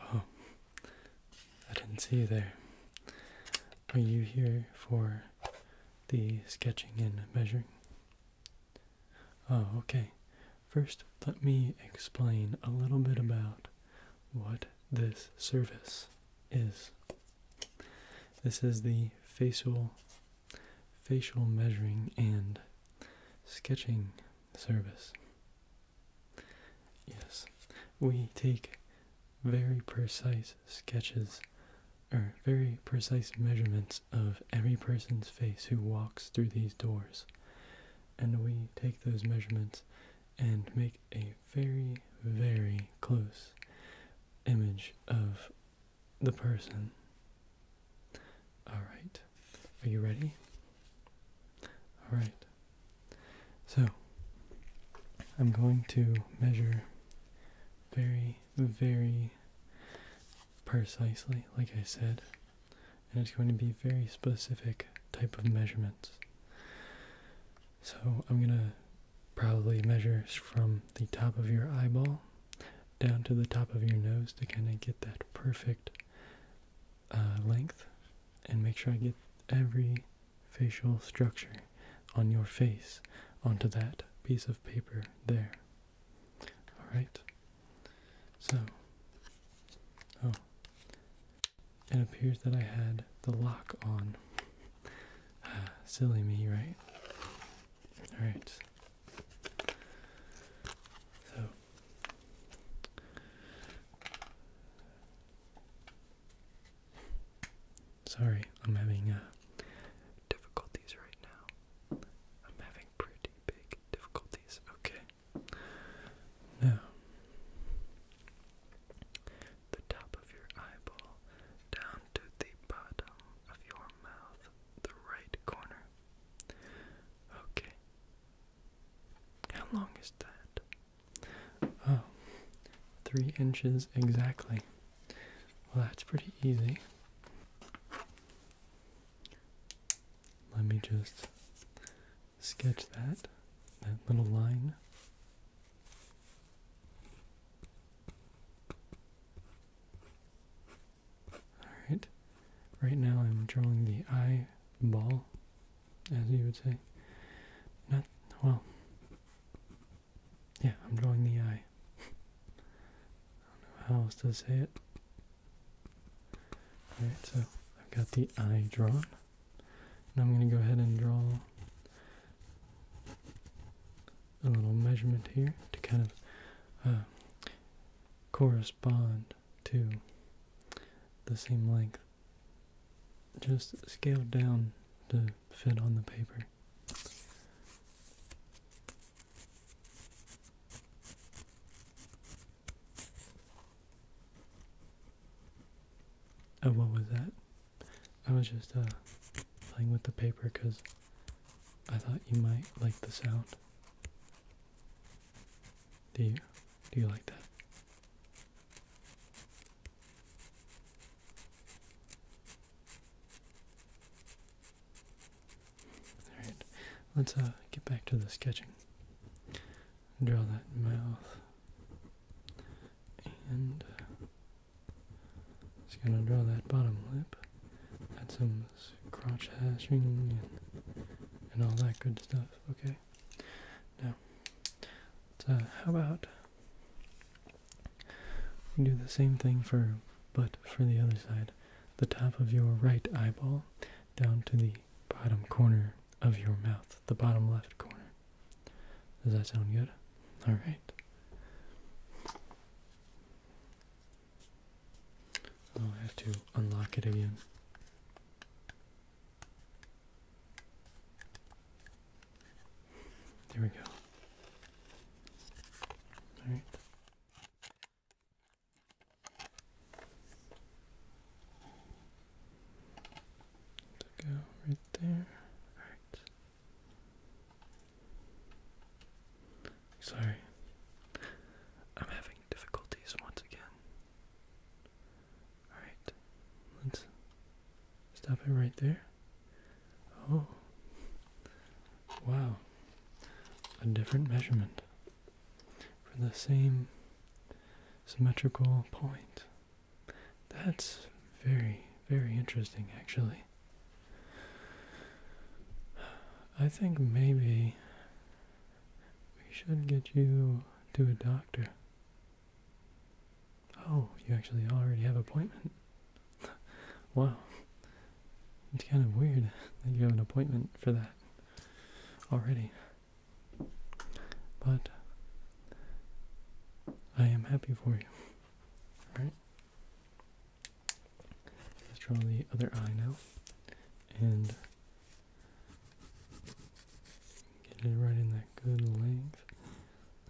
Oh, I didn't see you there. Are you here for the sketching and measuring? Oh, okay. First, let me explain a little bit about what this service is. This is the facial facial measuring and sketching service. Yes, we take very precise sketches or very precise measurements of every person's face who walks through these doors. And we take those measurements and make a very, very close image of the person. Alright, are you ready? Alright, so I'm going to measure very, very precisely, like I said, and it's going to be very specific type of measurements. So I'm gonna probably measure from the top of your eyeball down to the top of your nose to kind of get that perfect uh, length and make sure I get every facial structure on your face onto that piece of paper there. Alright? So, oh, it appears that I had the lock on. Ah, silly me, right? Alright. So. Sorry, I'm having uh, difficulties right now. I'm having pretty big difficulties. Okay. Now, the top of your eyeball down to the bottom of your mouth, the right corner. Okay. How long is that? Oh, three inches exactly. Well, that's pretty easy. Let me just sketch that, that little line. Alright, right now I'm drawing the eye ball, as you would say. Not, well, yeah, I'm drawing the eye. I don't know how else to say it. Alright, so I've got the eye drawn. I'm going to go ahead and draw a little measurement here to kind of uh, correspond to the same length. Just scaled down to fit on the paper. Oh, what was that? I was just uh, playing with the paper because I thought you might like the sound. Do you? Do you like that? Alright, let's uh, get back to the sketching. Draw that mouth and just gonna draw that bottom lip, add some crotch hashing and, all that good stuff, okay? Now, so how about we do the same thing for, but for the other side, the top of your right eyeball down to the bottom corner of your mouth, the bottom left corner. Does that sound good? All right. I'll have to unlock it again. There we go. All right go right there. Alright. Sorry. I'm having difficulties once again. Alright. Let's stop it right there. Oh. Wow. A different measurement for the same symmetrical point. That's very, very interesting, actually. I think maybe we should get you to a doctor. Oh, you actually already have an appointment. wow. It's kind of weird that you have an appointment for that already. But I am happy for you. Alright? Let's draw the other eye now. And get it right in that good length.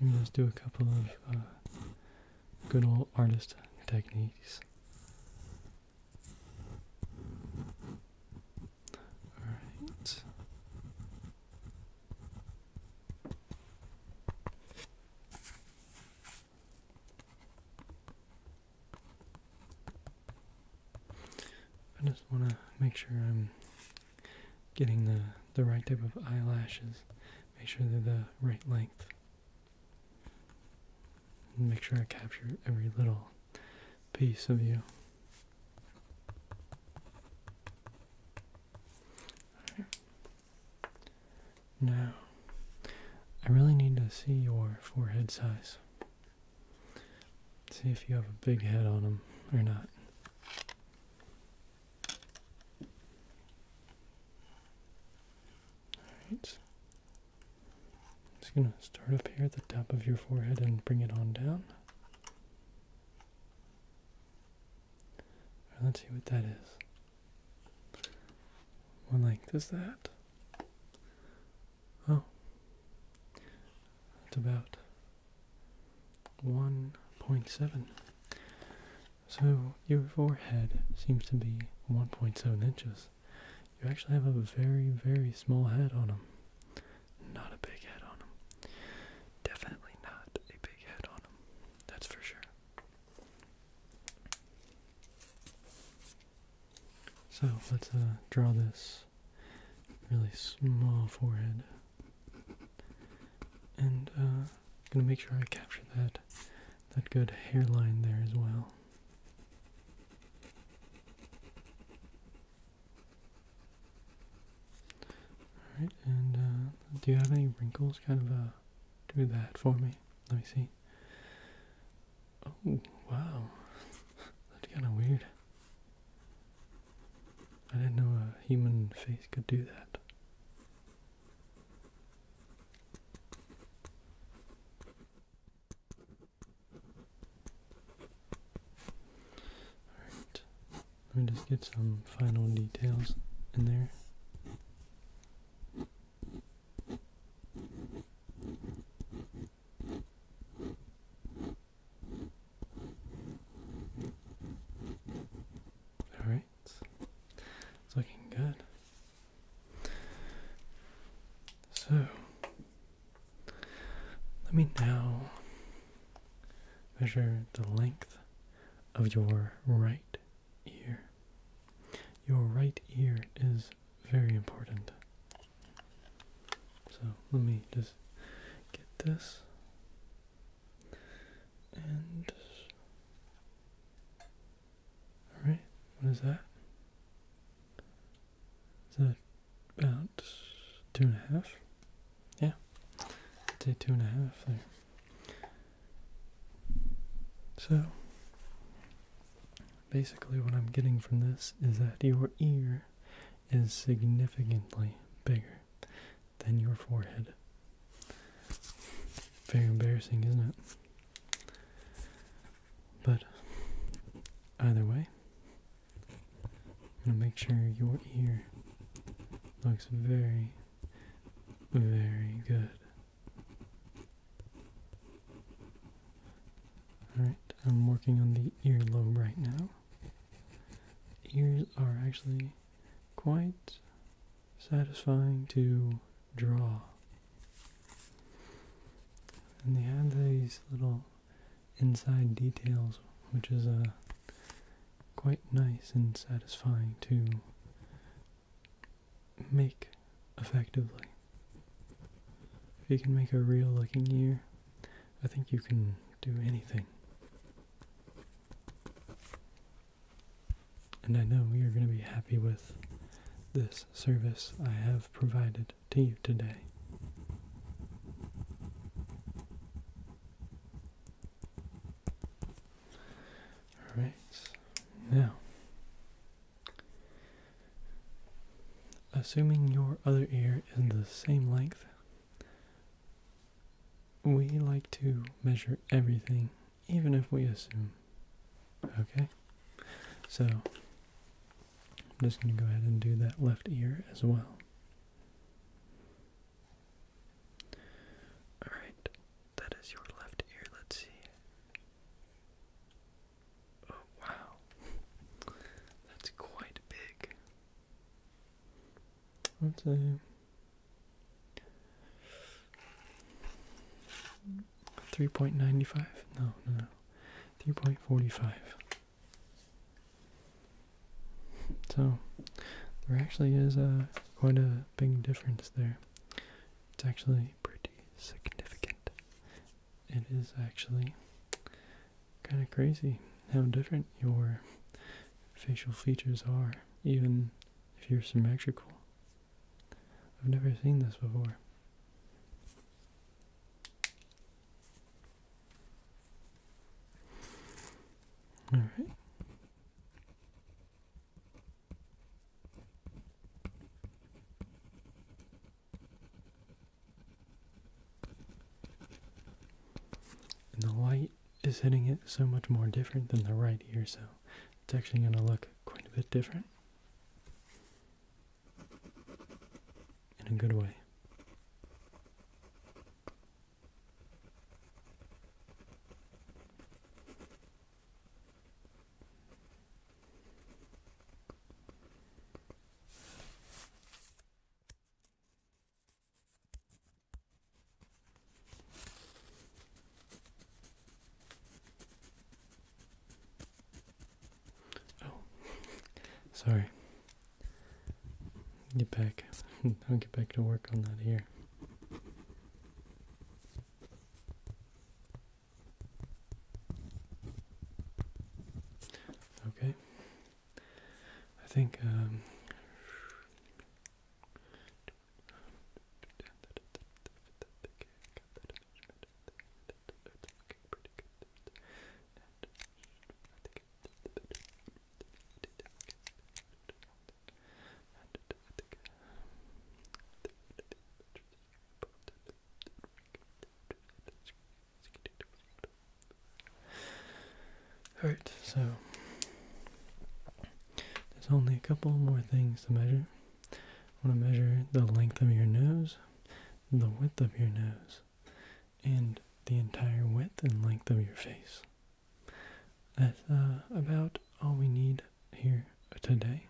Maybe let's do a couple of uh, good old artist techniques. I just want to make sure I'm getting the the right type of eyelashes. Make sure they're the right length. make sure I capture every little piece of you. Now, I really need to see your forehead size. See if you have a big head on them or not. Alright. just going to start up here at the top of your forehead and bring it on down let's see what that is. What length is that. Oh, that's about 1.7. So your forehead seems to be 1.7 inches. You actually have a very, very small head on him. Not a big head on him. Definitely not a big head on him. That's for sure. So let's uh, draw this really small forehead. And I'm uh, gonna make sure I capture that that good hairline there as well. All right, and uh, do you have any wrinkles? Kind of uh, do that for me. Let me see. Oh wow, that's kind of weird. I didn't know a human face could do that. Alright, let me just get some final details in there. Alright, it's looking good. So, let me now measure the length of your right ear. Your right ear is very important. So let me just get this and alright, what is that? So about two and a half. Yeah. Say two and a half So basically what I'm getting from this is that your ear is significantly bigger than your forehead. Very embarrassing, isn't it? But either way, I'm gonna make sure your ear looks very, very good. Alright, I'm working on the earlobe right now. Ears are actually quite satisfying to draw. And they have these little inside details, which is uh, quite nice and satisfying to make effectively. If you can make a real looking ear, I think you can do anything. And I know you're going to be happy with this service I have provided to you today. All right, now, assuming your other ear is the same length, we like to measure everything, even if we assume. Okay? So, I'm just going to go ahead and do that left ear as well. Alright, that is your left ear. Let's see. Oh, wow. That's quite big. Let's Three point ninety five? No, no, no. Three point forty five. So there actually is a uh, quite a big difference there. It's actually pretty significant. It is actually kind of crazy how different your facial features are, even if you're symmetrical. I've never seen this before. All right. the light is hitting it so much more different than the right here, so it's actually going to look quite a bit different in a good way. Oh, sorry. Get back. I'll get back to work on that here. Okay. I think, um, Alright, so there's only a couple more things to measure. I want to measure the length of your nose the width of your nose and the entire width and length of your face. That's uh, about all we need here today.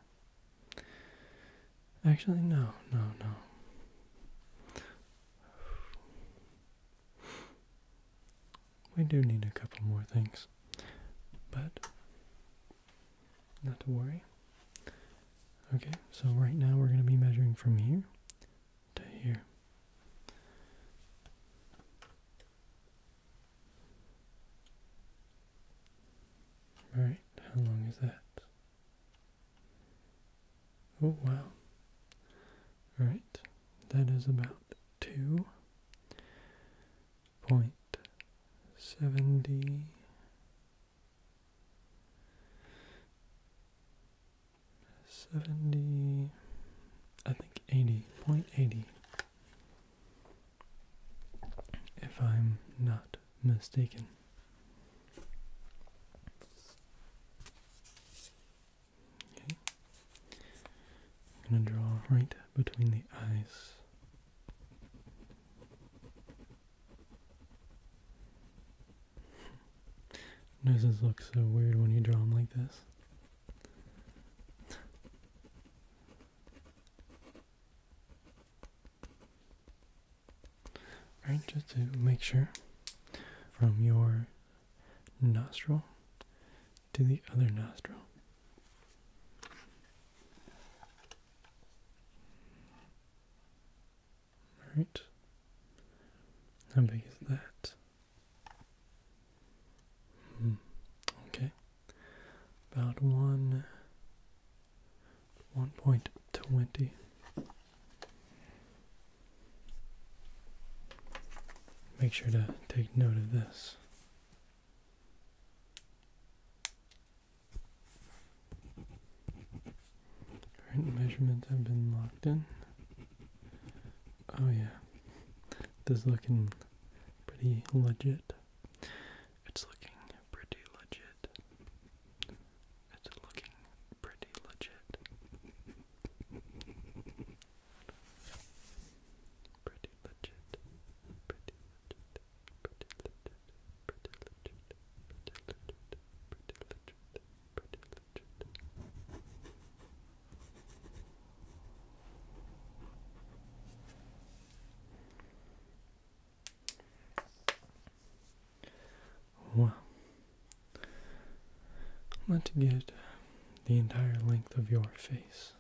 Actually, no, no, no. We do need a couple more things, but not to worry. Okay, so right now we're going to be measuring from here to here. Alright, how long is that? Oh, wow. Alright, that is about 2.70 70, I think 80, if I'm not mistaken. Okay. I'm going to draw right between the eyes. Noses look so weird when you draw them like this. Alright, just to make sure from your nostril to the other nostril. Alright. How big is that? Hmm. Okay. About one one point twenty. Make sure to take note of this. Current measurements have been locked in. Oh yeah, this is looking pretty legit. It's looking pretty legit. It's looking Pretty legit. Pretty legit. Pretty legit. Pretty legit. Pretty legit. Pretty legit pretty legit. Wow. Let's get the entire length of your face.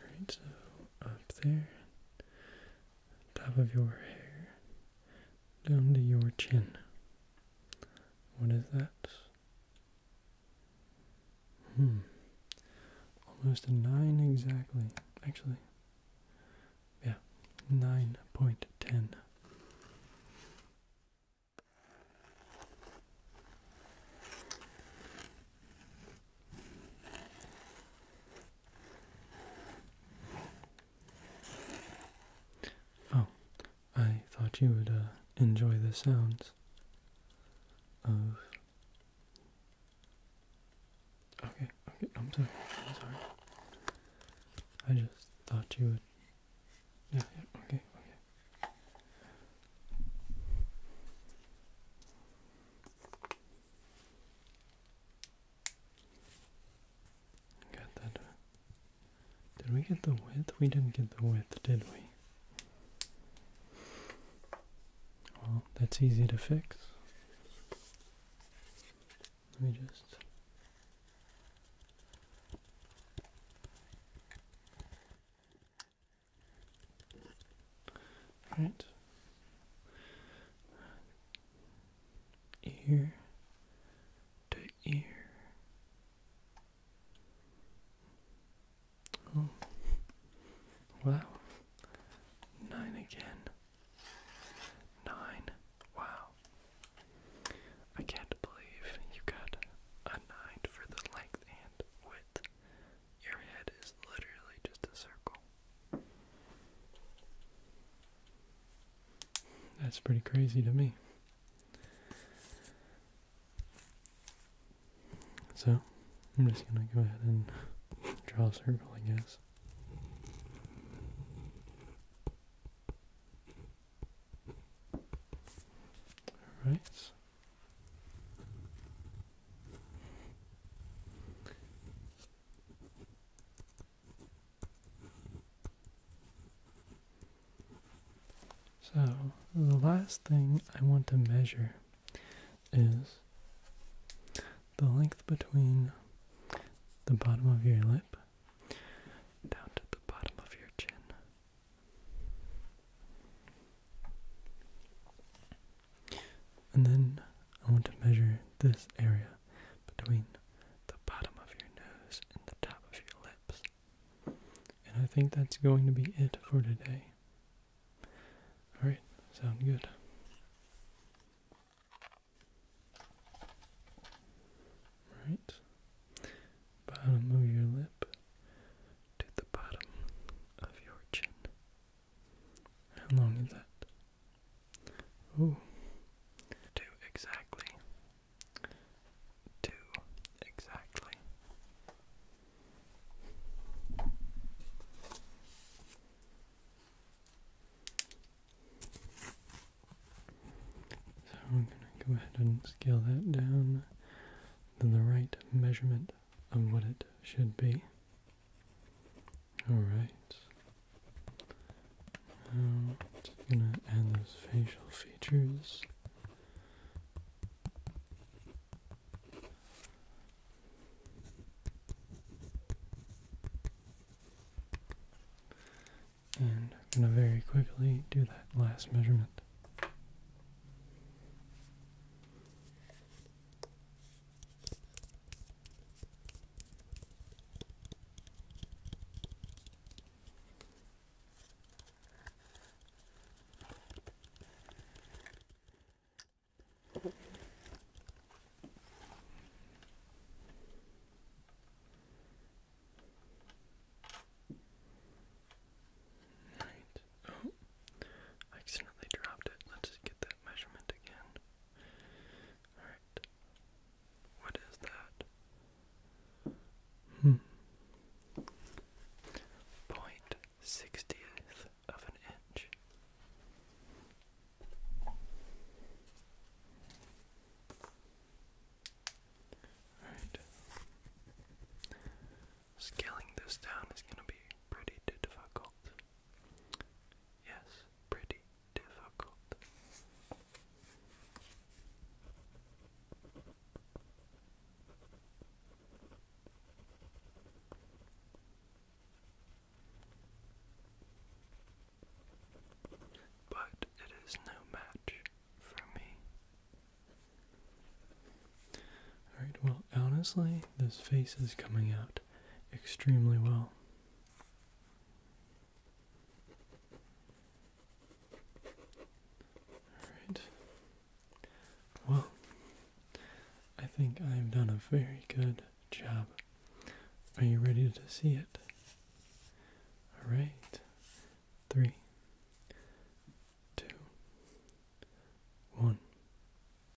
Alright, so up there top of your hair down to your chin. What is that? Hmm. Almost a nine exactly. Actually, yeah, nine point ten. Oh, I thought you would uh, enjoy the sounds of. Okay, okay, I'm sorry, I'm sorry. I just thought you would. Yeah, yeah, okay, okay. Got that. Did we get the width? We didn't get the width, did we? Well, that's easy to fix. Let me just right ear to ear. Oh, wow. Nine again. Nine. Wow. I can't believe you got a nine for the length and width your head is literally just a circle. That's pretty crazy to me. So, I'm just gonna go ahead and draw a circle, I guess. Alright. So, the last thing I want to measure is the length between the bottom of your lip down to the bottom of your chin. And then I want to measure this area between the bottom of your nose and the top of your lips. And I think that's going to be it for today. Alright, sound good. Right. Bottom of your lip to the bottom of your chin. How long is that? Oh, two exactly. Two exactly. So I'm gonna go ahead and scale that down to the right measurement of what it should be. Alright. Now, just gonna add those facial features. And I'm going to very quickly do that last measurement. Right. Oh, I accidentally dropped it. Let's just get that measurement again. Alright. What is that? Hmm. Point sixtieth of an inch. Alright. Scaling this down is going to be pretty difficult. Yes, pretty difficult. But it is no match for me. Alright, well, honestly, this face is coming out extremely well. Alright. Well, I think I've done a very good job. Are you ready to see it? Alright. Three, two, one.